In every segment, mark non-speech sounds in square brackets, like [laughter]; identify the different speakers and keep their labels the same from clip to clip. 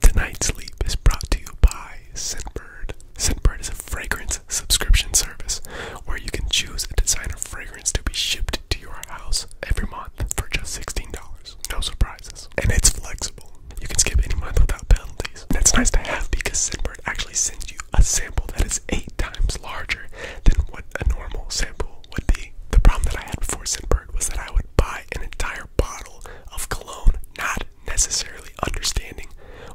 Speaker 1: Tonight's Sleep is brought to you by Scentbird. Scentbird is a fragrance subscription service where you can choose a designer fragrance to be shipped to your house every month for just $16. No surprises. And it's flexible. You can skip any month without penalties. And it's nice to have because Scentbird actually sends you a sample that is eight times larger than what a normal sample would be. The problem that I had before Scentbird was that I would buy an entire bottle of cologne, not necessarily understanding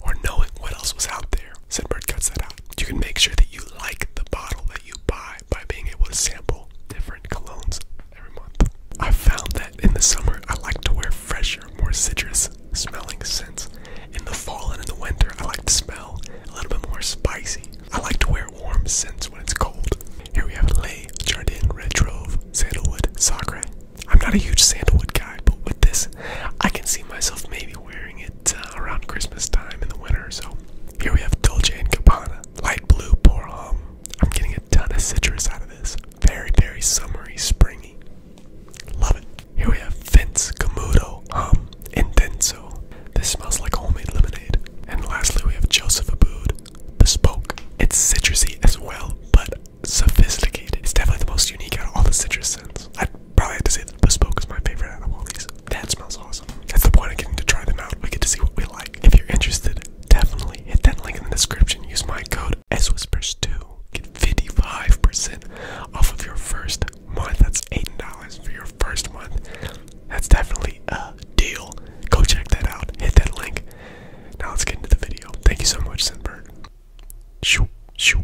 Speaker 1: or knowing what else was out there. bird cuts that out. You can make sure that you like the bottle that you buy by being able to sample different colognes every month. I found that in the summer I like to wear fresher, more citrus smelling scents. In the fall and in the winter I like to smell a little bit more spicy. I like to wear warm scents when it's cold. Here we have Lay, Jardin, Red Trove, Sandalwood, Sacre. I'm not a huge sandalwood guy, but with this, I can see myself maybe wearing it uh, around Christmas time in the winter so. Here we have Dolce & Gabbana, light blue, poor hum. I'm getting a ton of citrus out of this. Very, very summery, springy. Love it. Here we have Vince, Camudo, Hum, Intenso. This smells like homemade lemonade. And lastly, we have Joseph Abood, bespoke. It's citrusy as well, but sophisticated. It's definitely the most unique out of all the citrus scents. I'd probably have to say that bespoke is my favorite out of all these. That smells awesome. That's the point of getting to try them out. We get to see what we like. If you're interested, definitely hit that link in the description. Use my code SWhispers2. Get 55% off of your first month. That's $8 for your first month. That's definitely a deal. Go check that out. Hit that link. Now let's get into the video. Thank you so much, Sinbird. Shoo, shoo.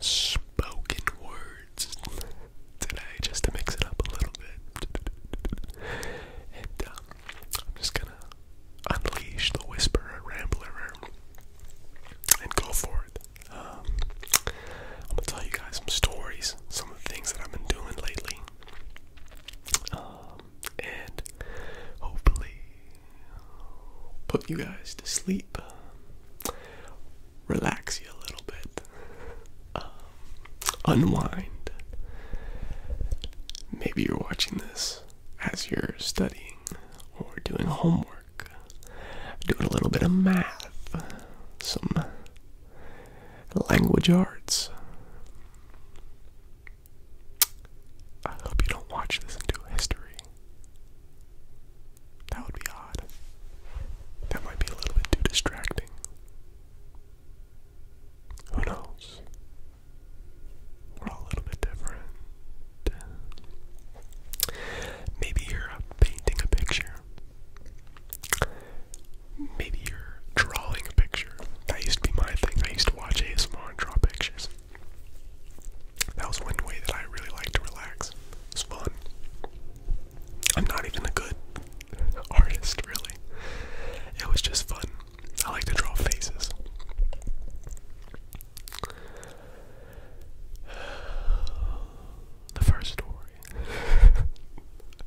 Speaker 1: spoken words today just to mix it up a little bit. And um, I'm just gonna unleash the whisperer, rambler, and go for it. Um, I'm gonna tell you guys some stories, some of the things that I've been doing lately. Um, and hopefully put you guys to sleep relax you a little bit, um, unwind. Maybe you're watching this as you're studying or doing homework, doing a little bit of math, some language arts. I hope you don't watch this and do history. That would be odd. That might be a little bit too distracting. Who knows? We're all a little bit different. Maybe you're painting a picture. Maybe you're drawing a picture. That used to be my thing. I used to watch ASMR and draw pictures. That was one way that I really like to relax. It's fun. I'm not even a good [laughs] artist, really. It was just fun. I like to draw faces. The first story [laughs]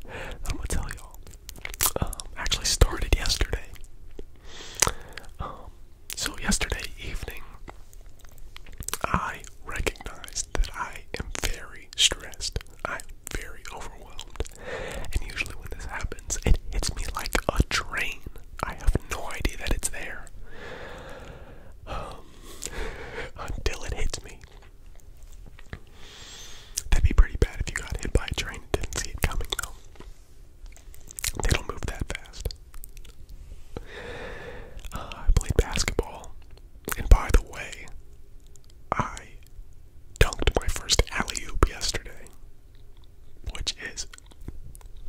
Speaker 1: I'm gonna tell y'all um, actually started yesterday. Um, so, yesterday evening, I recognized that I am very stressed. I'm very overwhelmed. And usually, when this happens, it hits me like a train. I have no idea that it's there um, until it hits me. That'd be pretty bad if you got hit by a train and didn't see it coming, though. They don't move that fast. Uh, I played basketball, and by the way, I dunked my first alley oop yesterday, which is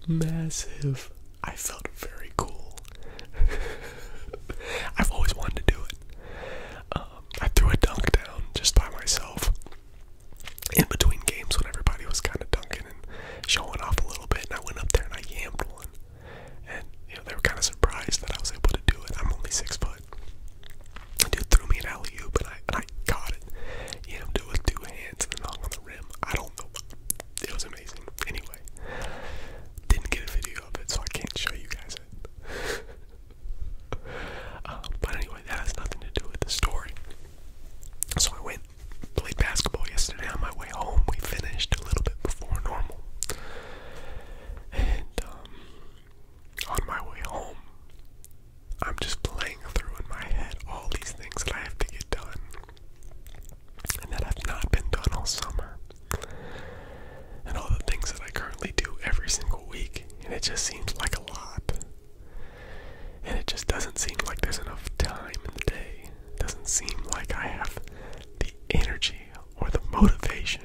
Speaker 1: massive. I felt very cool. [laughs] I've always wanted to do it. Um, I threw a dunk down just by myself in between games when everybody was kind of dunking and showing off a little bit, and I went up there and I yammed one. And you know they were kind of surprised that I was able to do it. I'm only six foot. The dude threw me an alley oop, and I I caught it. Yammed it with two hands and hung on the rim. I don't know. It was amazing. Anyway, didn't get a video of it, so I can't show you guys it. [laughs] Um, but anyway, that has nothing to do with the story. So I went played basketball yesterday on my way home. We finished a little bit before normal. And um, on my way home, I'm just playing through in my head all these things that I have to get done and that have not been done all summer. And all the things that I currently do every single week. And it just seems like a lot. And it just doesn't seem like there's enough time in the day. doesn't seem like I have the energy or the motivation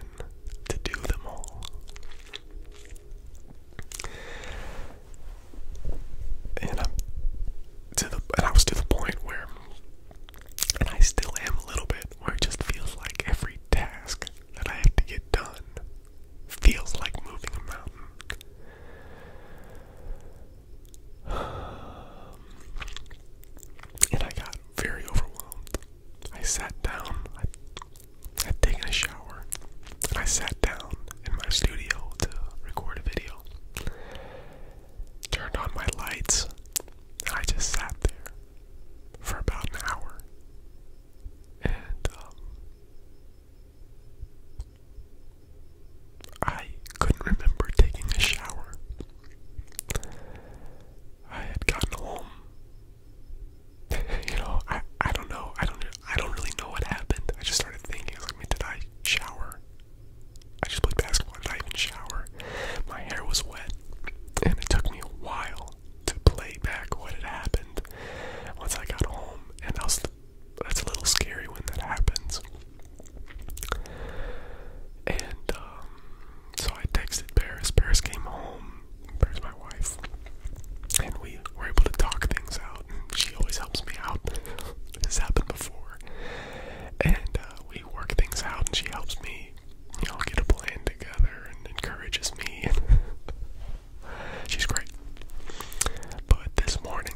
Speaker 1: to do them all. And I'm to the and I was to the point where and I still am a little bit where it just feels like every task that I have to get done feels like moving a mountain. [sighs] And I got very overwhelmed. I sat down. I had taken a shower. I sat down in my studio to record a video. Turned on my lights. And I just sat there for about an hour. And um, I couldn't remember taking a shower. I had gotten home. [laughs] you know, I I don't know. I don't I don't really know what happened. I just started thinking, I mean, did I shower? I just played basketball. Did I even shower? My hair was wet, and it took me a while to play back what had happened once I got home. And I was that's a little scary when that happens. And um, so I texted Paris. Paris came home. Paris, my wife, and we were able to talk things out. she always helps me out. [laughs] this happened before, and uh, we work things out. And she helps me, We all get a plan together and encourages me. [laughs] She's great. But this morning,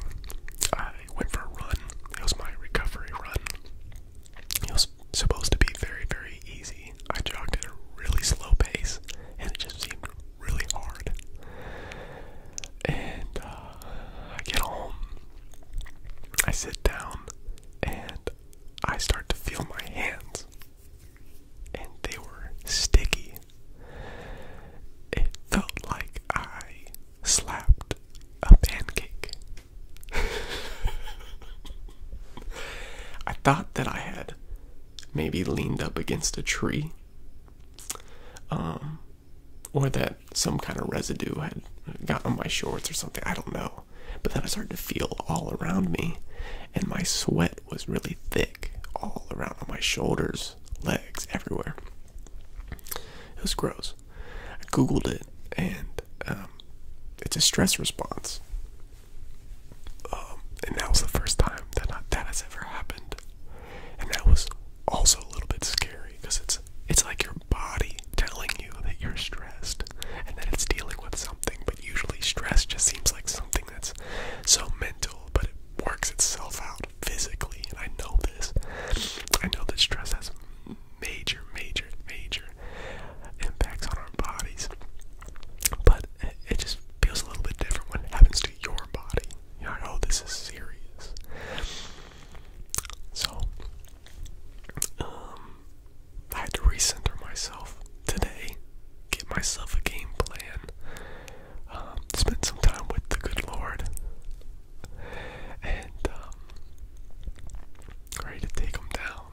Speaker 1: I went for a run. It was my recovery run. It was supposed to be very, very easy. I jogged at a really slow pace, and it just seemed really hard. And uh, I get home, I sit down, and I start to feel my hands, and they were sticky. It felt like I slapped a pancake. I thought that I had maybe leaned up against a tree. Um or that some kind of residue had gotten on my shorts or something. I don't know. But then I started to feel all around me and my sweat was really thick all around on my shoulders legs, everywhere. It was gross. I googled it, and um, it's a stress response. Um, and that was the first time that I, that has ever happened, and that was also a little bit scary because it's it's like your body telling you that you're stressed, and that it's dealing with something. But usually, stress just seems like something that's so mental, but it works itself out physically. And I know this. I know that stress has major, major, major impacts on our bodies. But it just feels a little bit different when it happens to your body. you know, this is serious. So, um, I had to recenter myself today, get myself a game plan, um, Spent some time with the good Lord, and um, ready to take down.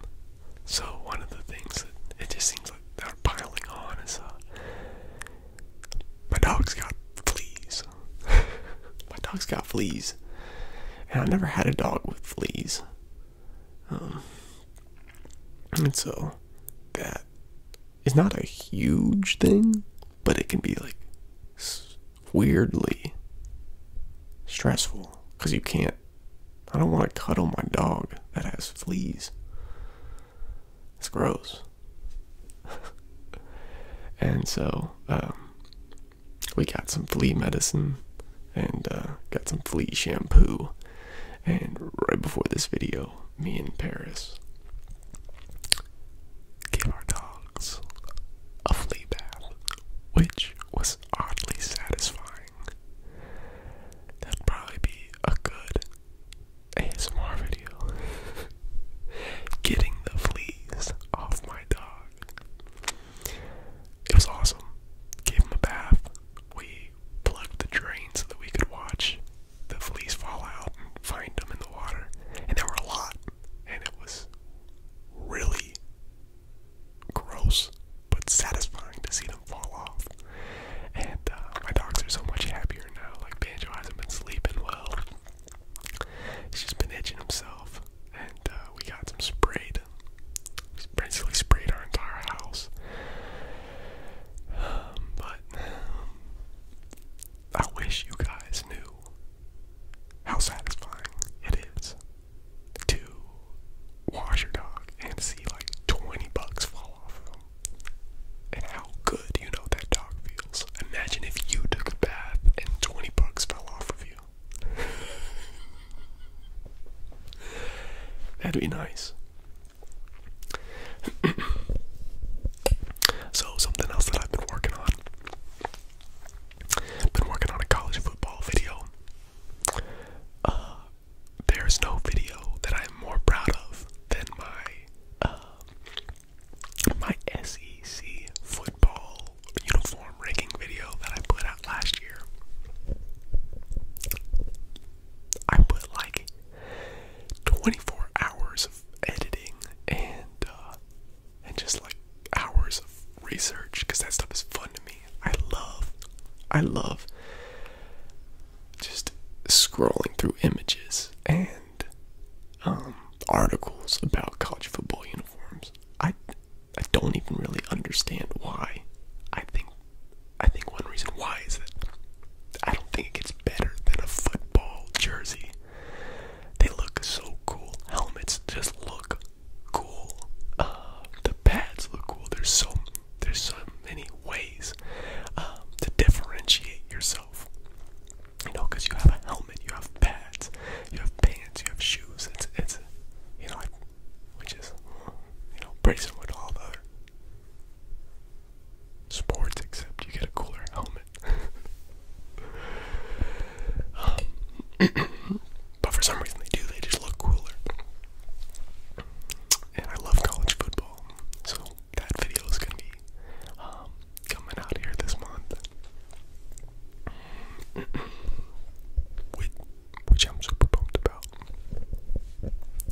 Speaker 1: So one of the things that it just seems like they're piling on is, uh, my dog's got fleas. [laughs] my dog's got fleas, and I never had a dog with fleas. Um, and so that is not a huge thing, but it can be like weirdly stressful because you can't. I don't want to cuddle my dog that has fleas. It's gross. [laughs] and so um, we got some flea medicine and uh, got some flea shampoo and right before this video, me and Paris gave our dogs a flea bath, which was oddly satisfying. That'd probably be a good ASMR video. [laughs] Getting the fleas off my dog. It was awesome. Gave him a bath. We plugged the drain so that we could watch the fleas fall out and find them in the water. And there were a lot, and it was really gross but satisfying to see them fall off. And uh, my dogs are so much happier now. Like Banjo hasn't been sleeping well. He's just been itching himself, and uh, we got some sprayed. We basically sprayed our entire house, [sighs] but um, I wish you guys knew how satisfying it is to wash your dog and see like 20 bucks fall off of them. And how good you know that dog feels. Imagine if you took a bath and 20 bucks fell off of you. [laughs] That'd be nice. [coughs] so something else that I've been working on. Been working on a college football video. Uh, there's no video that I'm more proud of than my uh, my SEC football uniform ranking video that I put out last year. I put like 24 hours of editing and uh, and just like hours of research because that stuff is fun to me. I love, I love just scrolling through images and um, articles about college football uniforms. I I don't even really understand why I think I think one reason why is that I don't think it gets better than a football jersey. They look so cool. Helmets just look cool. Uh, the pads look cool. There's so there's so many ways um, to differentiate yourself. You know, because you have a helmet, you have pads, you have pants, you have shoes. It's it's you know. I, which is, you know, pretty similar to all the other sports, except you get a cooler helmet. Um, [clears throat] but for some reason they do, they just look cooler. And I love college football, so that video is going to be um, coming out here this month. [clears throat] which I'm super pumped about.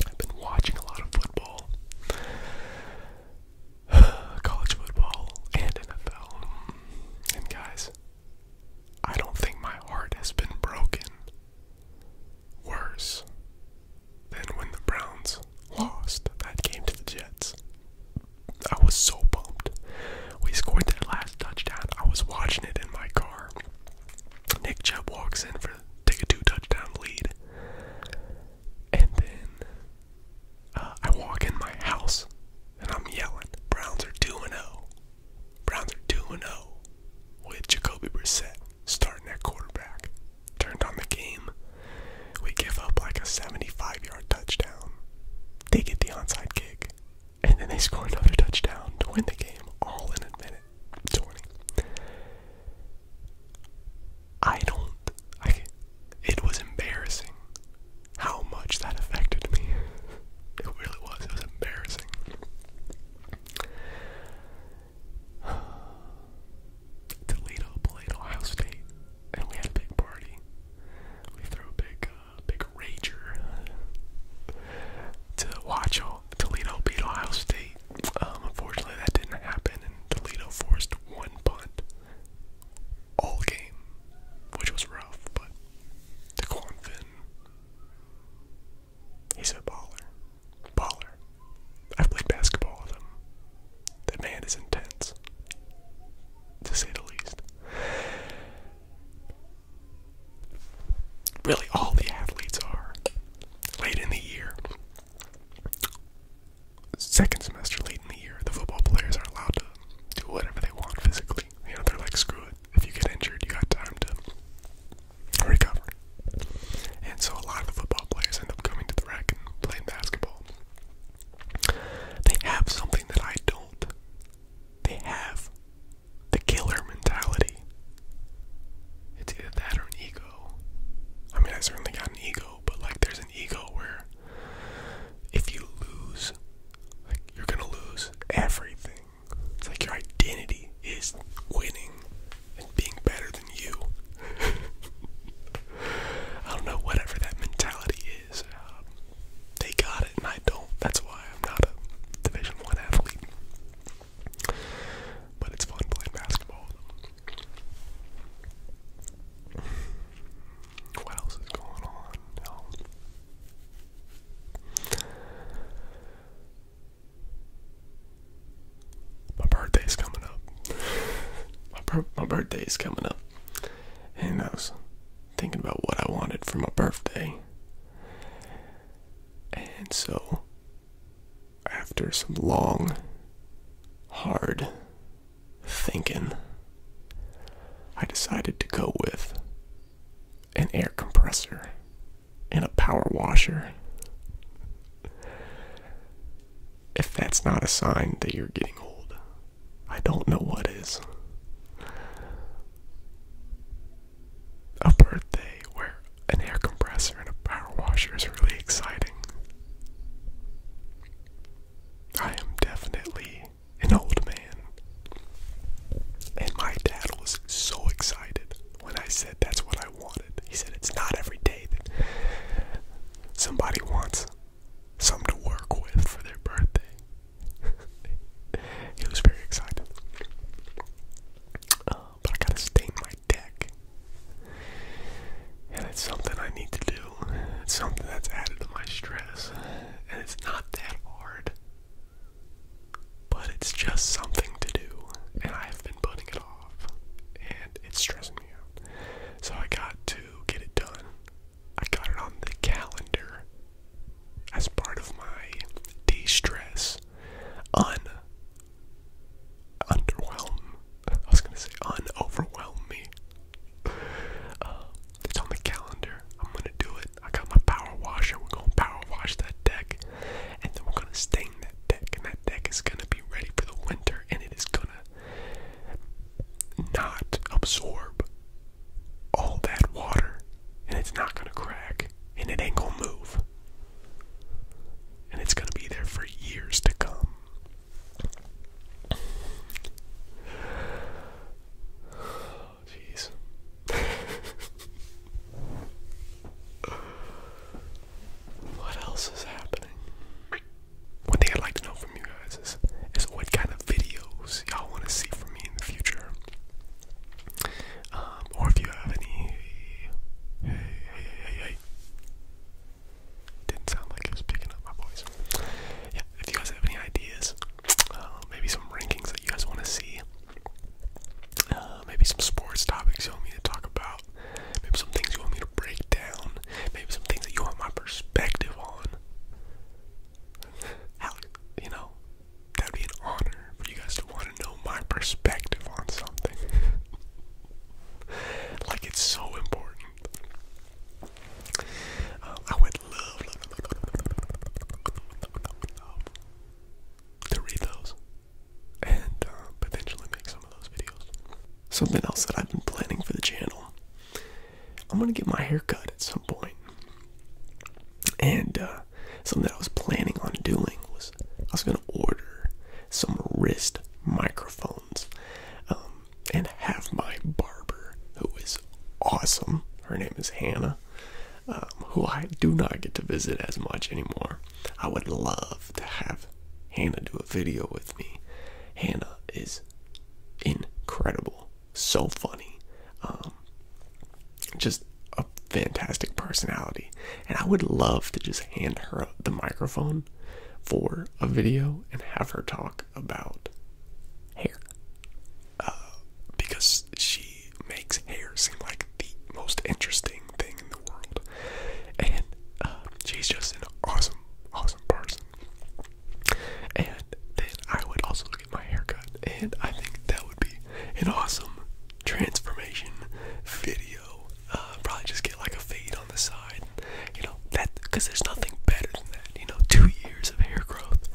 Speaker 1: I've been watching a lot of football, [sighs] college football, and NFL. And guys, I don't think my heart has been broken worse than when the Browns lost that game to the Jets. I was so pumped. We scored that last touchdown. I was watching it in my car. Nick Chubb walks in for take a two touchdown lead, and then uh, I walk in my house and I'm yelling, "Browns are two and zero! Oh. Browns are two and zero!" Oh, with Jacoby Brissett starting at quarterback, turned on the game. We give up like a 75 yard touchdown. They get the onside kick. And then they scored another touchdown to win the game all in a minute I don't. I, it was embarrassing how much that affected me. [laughs] It really was. It was embarrassing. [sighs] Toledo played Ohio State, and we had a big party. We threw a big, uh, big rager to watch all Toledo beat Ohio State. Um, unfortunately, that didn't happen, and Toledo forced one punt all game, which was rough. But Daquan Fin, he's a baller. Baller. I've played basketball with him. The man is intense, to say the least. Really, all the athletes are late in the year. Second semester, late in the year, the football players are allowed to do whatever they want physically. You know, they're like, screw it. If you get injured, you got time to recover. And so a lot of the football players end up coming to the rack and playing basketball. They have something that I don't. They have the killer mentality. It's either that or an ego. I mean, I certainly got an ego, but like there's an ego where if you lose, like you're gonna lose everything. It's like your identity is winning and being better than you. [laughs] I don't know, whatever that mentality is. Um, they got it, and I don't. That's why I'm not a Division One athlete. But it's fun playing basketball What else is going on? My birthday's coming up. my, my birthday's coming up. Who knows? thinking about what I wanted for my birthday. And so, after some long, hard thinking, I decided to go with an air compressor and a power washer. If that's not a sign that you're getting old, I don't know what is a birthday where an air compressor and a power washer is really exciting. I am definitely an old man. And my dad was so excited when I said that's what I wanted. He said it's not every day that somebody wants something to work with for their birthday. [laughs] he was very excited. Uh, but I gotta stain my deck. And it's something I need to do. It's something that's added to my stress. And it's not that hard. But it's just something to do. And I've been putting it off. And it's stressing me out. So I got to get it done. I got it on the calendar as part of my de stress. Un underwhelm. I was gonna say un-overwhelm me. Uh, it's on the calendar. I'm gonna do it. I got my power washer. We're gonna power wash that deck, and then we're gonna stain that deck, and that deck is gonna be ready for the winter, and it is gonna not absorb all that water and it's not going to crack and it ain't going to move. And it's going to be there for years to come. [sighs] Jeez. [laughs] what else is happening? One thing I'd like to know from you is, what kind of videos y'all want to see from me in the future. Um, or if you have any, Didn't sound like it was picking up my voice. Yeah, if you guys have any ideas, um, maybe some rankings that you guys want to see, uh, maybe some sports topics you want me to talk about, maybe some things you want me to break down, maybe some things that you want my perspective on you know, that'd be an honor for you guys to want to know my perspective on something. like it's so important. I would love, to read those and potentially make some of those videos. Something else that I've been planning for the channel I'm gonna get my hair cut at some And uh, something that I was planning on doing was I was gonna order some wrist microphones um, and have my barber, who is awesome. Her name is Hannah, um, who I do not get to visit as much anymore. I would love to have Hannah do a video with me. Hannah is incredible so funny, um, just a fantastic personality. And I would love to just hand her the microphone for a video and have her talk about hair uh, because she makes hair seem like the most interesting thing in the world. And uh, she's just an awesome, awesome person. And then I would also look at my haircut, and I think that would be an awesome transformation video. Uh, probably just get like a fade on the side, you know, that because there's nothing better than that, you know, two years of hair growth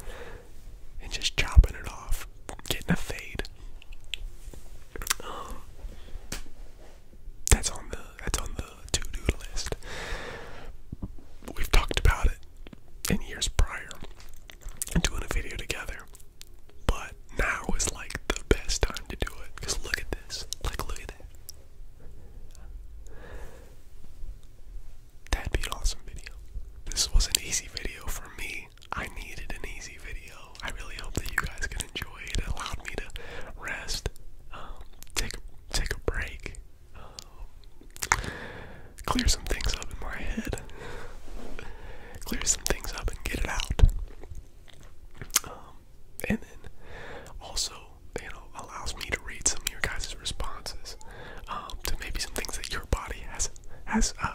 Speaker 1: and just chopping it off, getting a fade. Um, that's on the that's on the to-do list. We've talked about it in years prior doing a video together. But now is like the best time to do it. Because look at this. Like look at that. That'd be an awesome video. This was an easy video for me. I needed an easy video. I really hope that you guys can enjoy it. It allowed me to rest, um, take take a break, clear some things up in my head, clear some things up and get it out. Um, and then also, you know, allows me to read some of your guys' responses um, to maybe some things that your body has, has uh,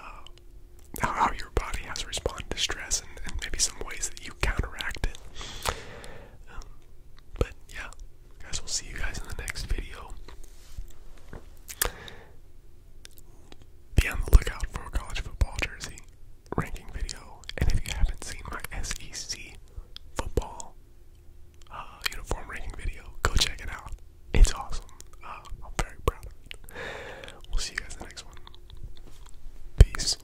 Speaker 1: how your body has responded to stress and, maybe some ways that you counteract it. Um, but yeah, guys, we'll see you guys in the next video. Be on the lookout for a college football jersey ranking video. And if you haven't seen my SEC football uh, uniform ranking video, go check it out. It's awesome. Uh, I'm very proud We'll see you guys the next one. Peace.